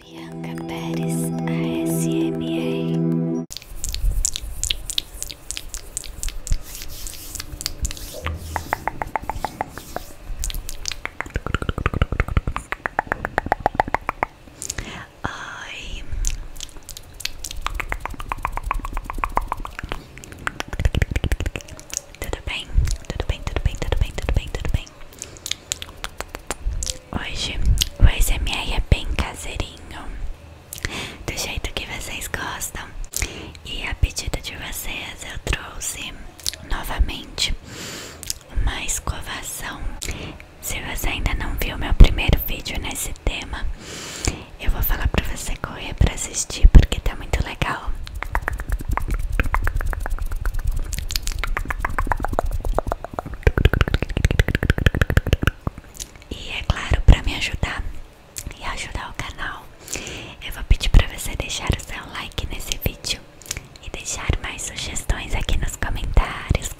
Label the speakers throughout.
Speaker 1: Bianca Pérez ASMR Oi Tudo bem? Tudo bem, tudo bem, tudo bem, tudo bem, tudo bem Hoje o ASMR é bem caseirinho, do jeito que vocês gostam. E a pedido de vocês eu trouxe novamente uma escovação. Se você ainda não viu meu primeiro vídeo nesse tema, eu vou falar para você correr para assistir porque tá muito legal. E é claro, para me ajudar e ajudar o canal, eu vou pedir para você deixar o seu like nesse vídeo e deixar mais sugestões aqui nos comentários.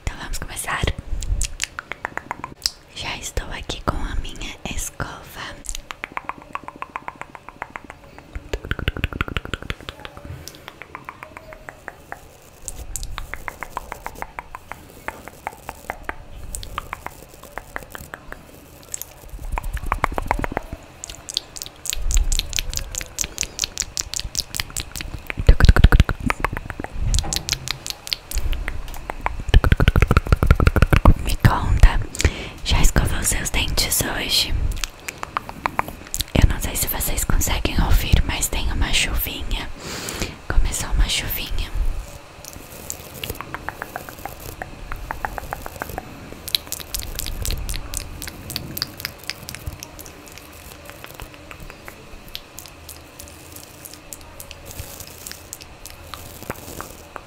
Speaker 1: Então vamos começar. Já estou aqui com a minha escova. Me conta, já escovou seus dentes hoje? Eu não sei se vocês conseguem ouvir, mas tem uma chuvinha. Começou uma chuvinha.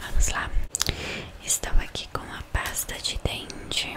Speaker 1: Vamos lá. Estou aqui com a pasta de dente.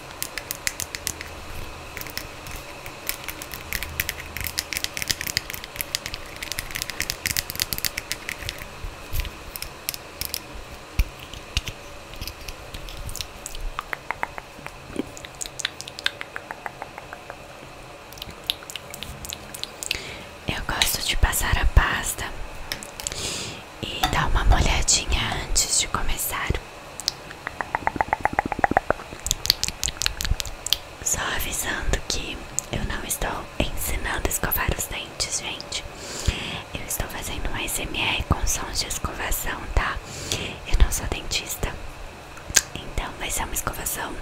Speaker 1: Eu gosto de passar a pasta e dar uma molhadinha antes de começar. Só avisando que eu não estou ensinando a escovar os dentes, gente. Eu estou fazendo um SMR com sons de escovação, tá? Eu não sou dentista. Então vai ser uma escovação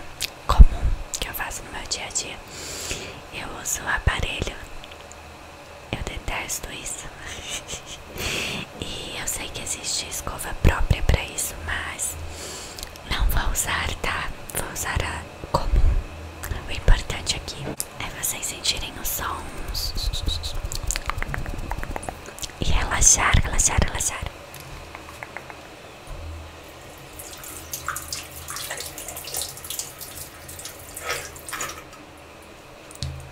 Speaker 1: comum que eu faço no meu dia a dia. Eu uso o aparelho. Eu detesto isso. E eu sei que existe escova própria para isso, mas não vou usar, tá? Vou usar a comum. O importante aqui é vocês sentirem os sons e relaxar, relaxar, relaxar.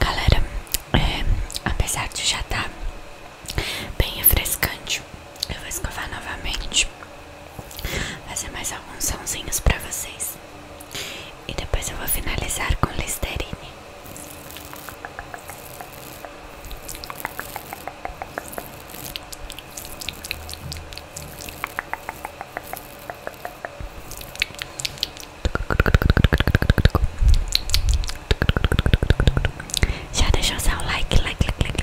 Speaker 1: Galera, é, apesar de já estar tá bem refrescante, eu vou escovar novamente, fazer mais alguns sonzinhos pra vocês. E depois eu vou finalizar com Listerine. Já deixou seu like, like, like, like.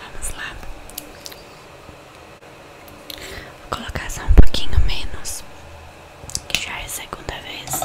Speaker 1: Vamos lá. Vou colocar só um pouquinho menos, que já é a segunda vez.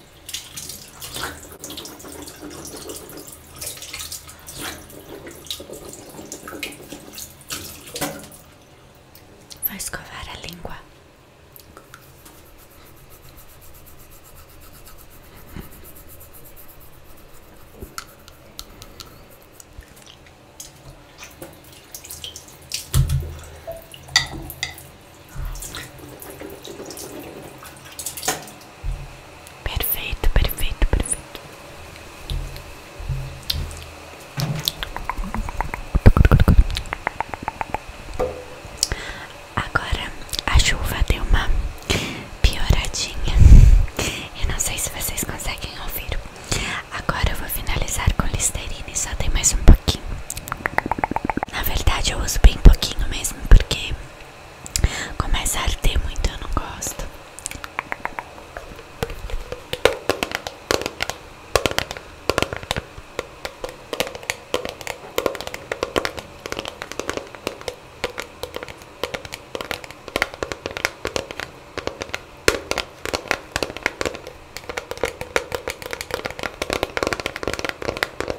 Speaker 1: Vai escovar a língua. Perfeito, perfeito, perfeito. Agora a chuva deu uma pioradinha. Eu não sei se vocês conseguem ouvir. Agora eu vou finalizar com Listerine. Só tem mais um pouquinho. Na verdade eu uso bem pouquinho mesmo porque começa a arder muito, eu não gosto.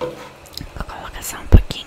Speaker 1: Vou colocar só um pouquinho.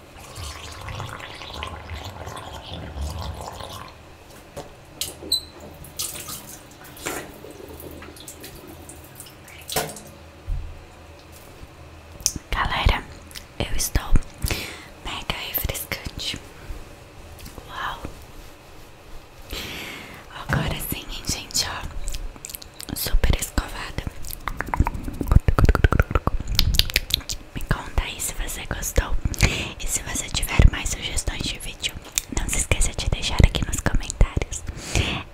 Speaker 1: Galera, eu estou mega refrescante. Uau! Agora sim, gente, ó. Super escovada. Me conta aí se você gostou E se você tiver mais sugestões de vídeo Não se esqueça de deixar aqui nos comentários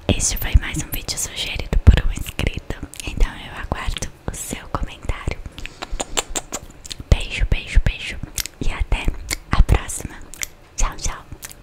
Speaker 1: Este foi mais um vídeo sugerido por um inscrito Então eu aguardo o seu comentário Beijo, beijo, beijo E até a próxima Tchau, tchau